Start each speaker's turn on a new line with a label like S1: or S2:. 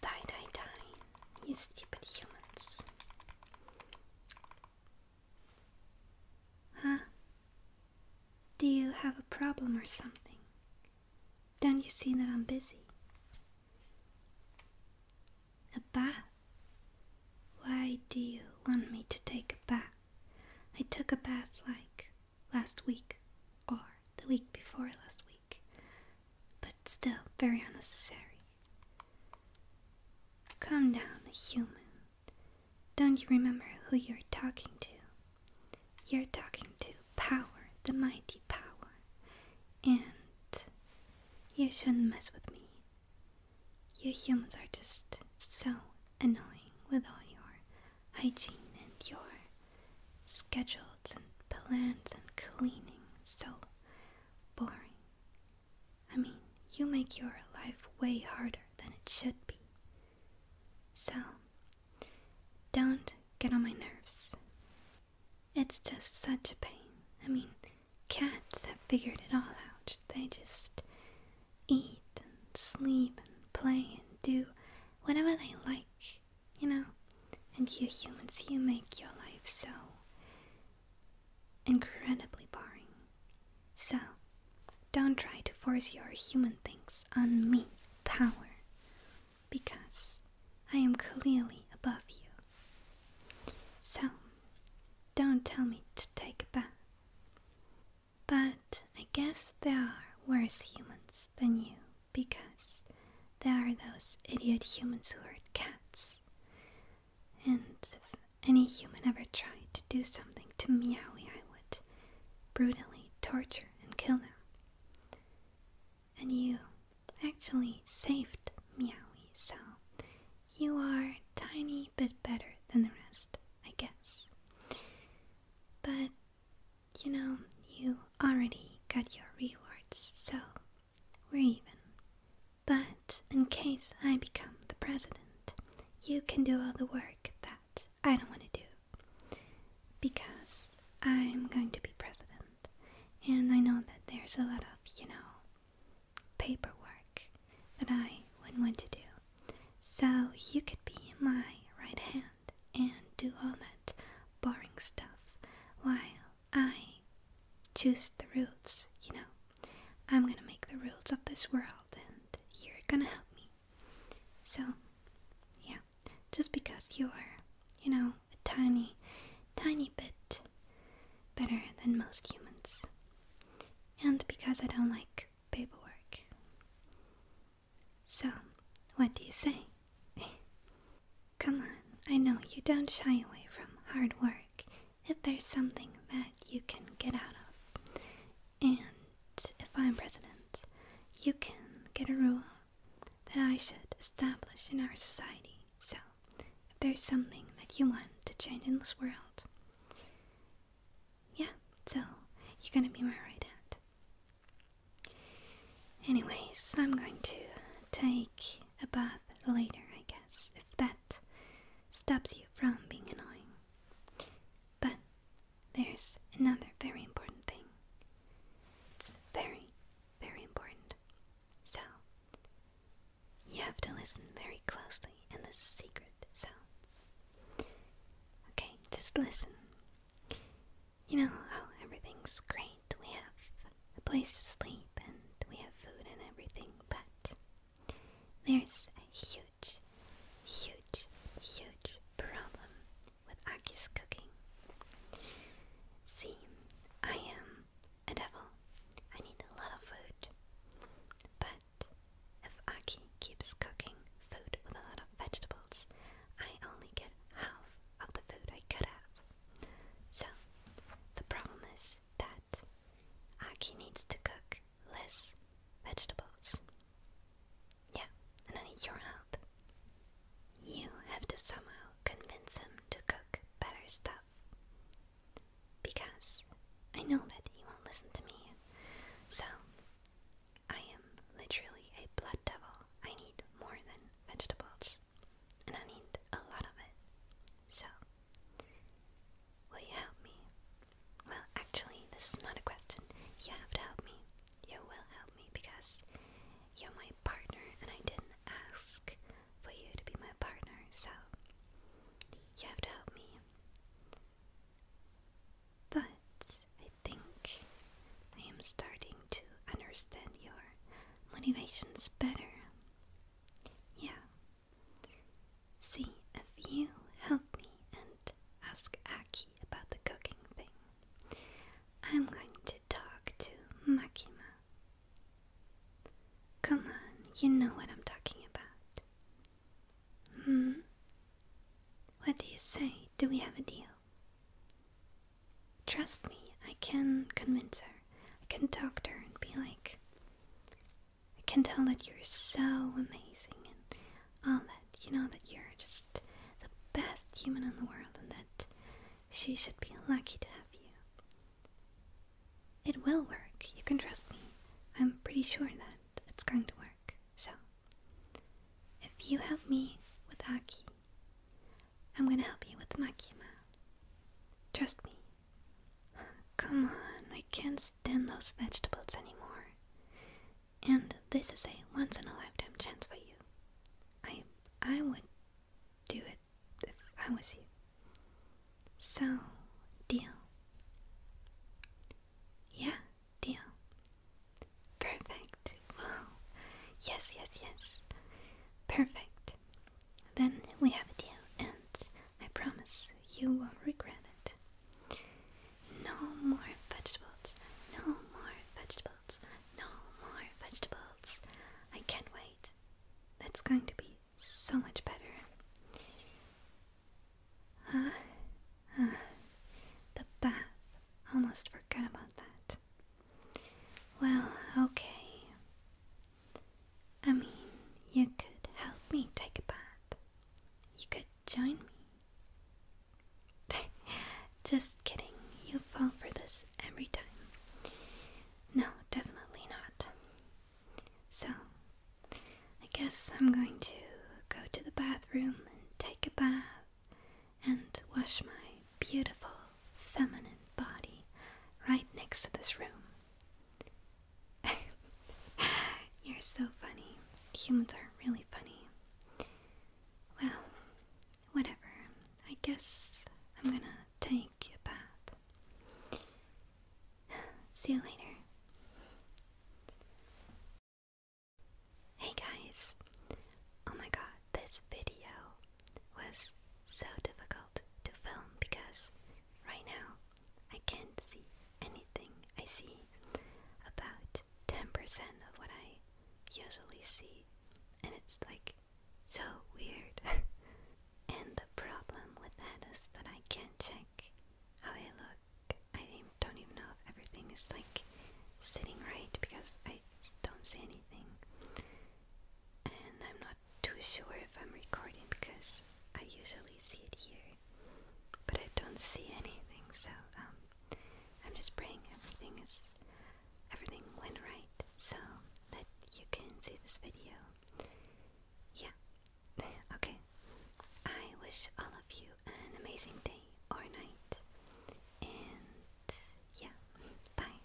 S1: Die, die, die, you stupid humans. Huh? Do you have a problem or something? Don't you see that I'm busy? A bath? Why do you want me to take a bath? I took a bath like last week or the week before last week, but still very unnecessary. Come down, human. Don't you remember who you're talking to? You're talking to power, the mighty power, and you shouldn't mess with me. You humans are just so annoying with all your hygiene and your schedules and plans and cleaning so boring. I mean, you make your life way harder than it should be. So, don't get on my nerves. It's just such a pain. I mean, cats have figured it all out. They just eat and sleep and play and do whatever they like, you know? And you humans, you make your life so incredibly boring. So, don't try to force your human things on me, power, because I am clearly above you. So, don't tell me to take a bath. But I guess there are worse humans than you because there are those idiot humans who hurt cats. And if any human ever tried to do something to Meowie, I would brutally torture and kill them. And you actually saved Meowie, so you are tiny bit better than the rest. I guess. But you know, you already got your rewards, so we're even. But in case I become the president, you can do all the work that I don't want to do. Because I'm going to be president. And I know that there's a lot of, you know, paperwork that I wouldn't want to do. So you could be my right hand and do all that boring stuff while I choose the rules, you know. I'm gonna make the rules of this world and you're gonna help me. So, yeah, just because you're, you know, a tiny, tiny bit better than most humans and because I don't like paperwork. So, what do you say? Come on, I know you don't shy away from hard work if there's something that you can get out of. And if I'm president, you can get a rule that I should establish in our society so, if there's something that you want to change in this world, yeah, so you're gonna be my right hand. Anyways, I'm going to take a bath later, I guess, if that stops you from being annoying. But there's another very important thing. It's very, very important. So, you have to listen very closely, and this is secret, so. Okay, just listen. You know how everything's great. We have a place to sleep and we have food and everything, but there's a huge, huge, huge problem with Aki's cooking. See, I am a devil. I need a lot of food. But if Aki keeps cooking food with a lot of vegetables, I only get half of the food I could have. So, the problem is that Aki needs to cook less vegetables. Yeah, and I need your help. You have to somehow convince him to cook better stuff. Because I know that you won't listen to me. So, I am literally a blood devil. I need more than vegetables. And I need a lot of it. So, will you help me? Well, actually, this is not a question. You have to help me. You will help me because you're my partner, and I didn't ask for you to be my partner, so you have to help me. But I think I am starting to understand your motivations better. Yeah. See, if you help me and ask Aki about the cooking thing, I'm going to talk to Makima. Come on, you know what I'm talking about. Hmm? What do you say? Do we have a deal? Trust me, I can convince her. I can talk to her and be like, I can tell that you're so amazing and all um, that. You know that you're just the best human in the world and that she should be lucky to have you. It will work. You can trust me. I'm pretty sure that it's going to work. So, if you help me with Aki, I'm gonna help you with Makima. Trust me. Come on, I can't stand those vegetables anymore and this is a once in a lifetime chance for you. I I would do it if I was you. So, deal. Yeah, deal. Perfect. Well, Yes, yes, yes. Perfect. Then we have a deal, and I promise you won't regret it. No more vegetables. No more vegetables. No more vegetables. I can't wait. That's going to be so much better. Uh, uh, the bath. Almost forgot about that. Well, okay. I mean, you could help me take a bath. You could join me? Just kidding. You fall for this every time. No, definitely not. So, I guess I'm going to go to the bathroom and take a bath and wash my beautiful feminine body right next to this room. You're so funny. Humans are really funny. Well, whatever. I guess I'm gonna take a bath. See you later. Hey guys. Oh my god, this video was so difficult to film because Right now, I can't see anything. I see about 10% of what I usually see, and it's like so weird. and the problem with that is that I can't check how I look. I don't even know if everything is like sitting right because I don't see anything. And I'm not too sure if I'm recording because I usually see it here, but I don't see anything, so um, I'm just praying everything is everything went right, so that you can see this video. Yeah. okay. I wish all of you an amazing day or night, and yeah, bye.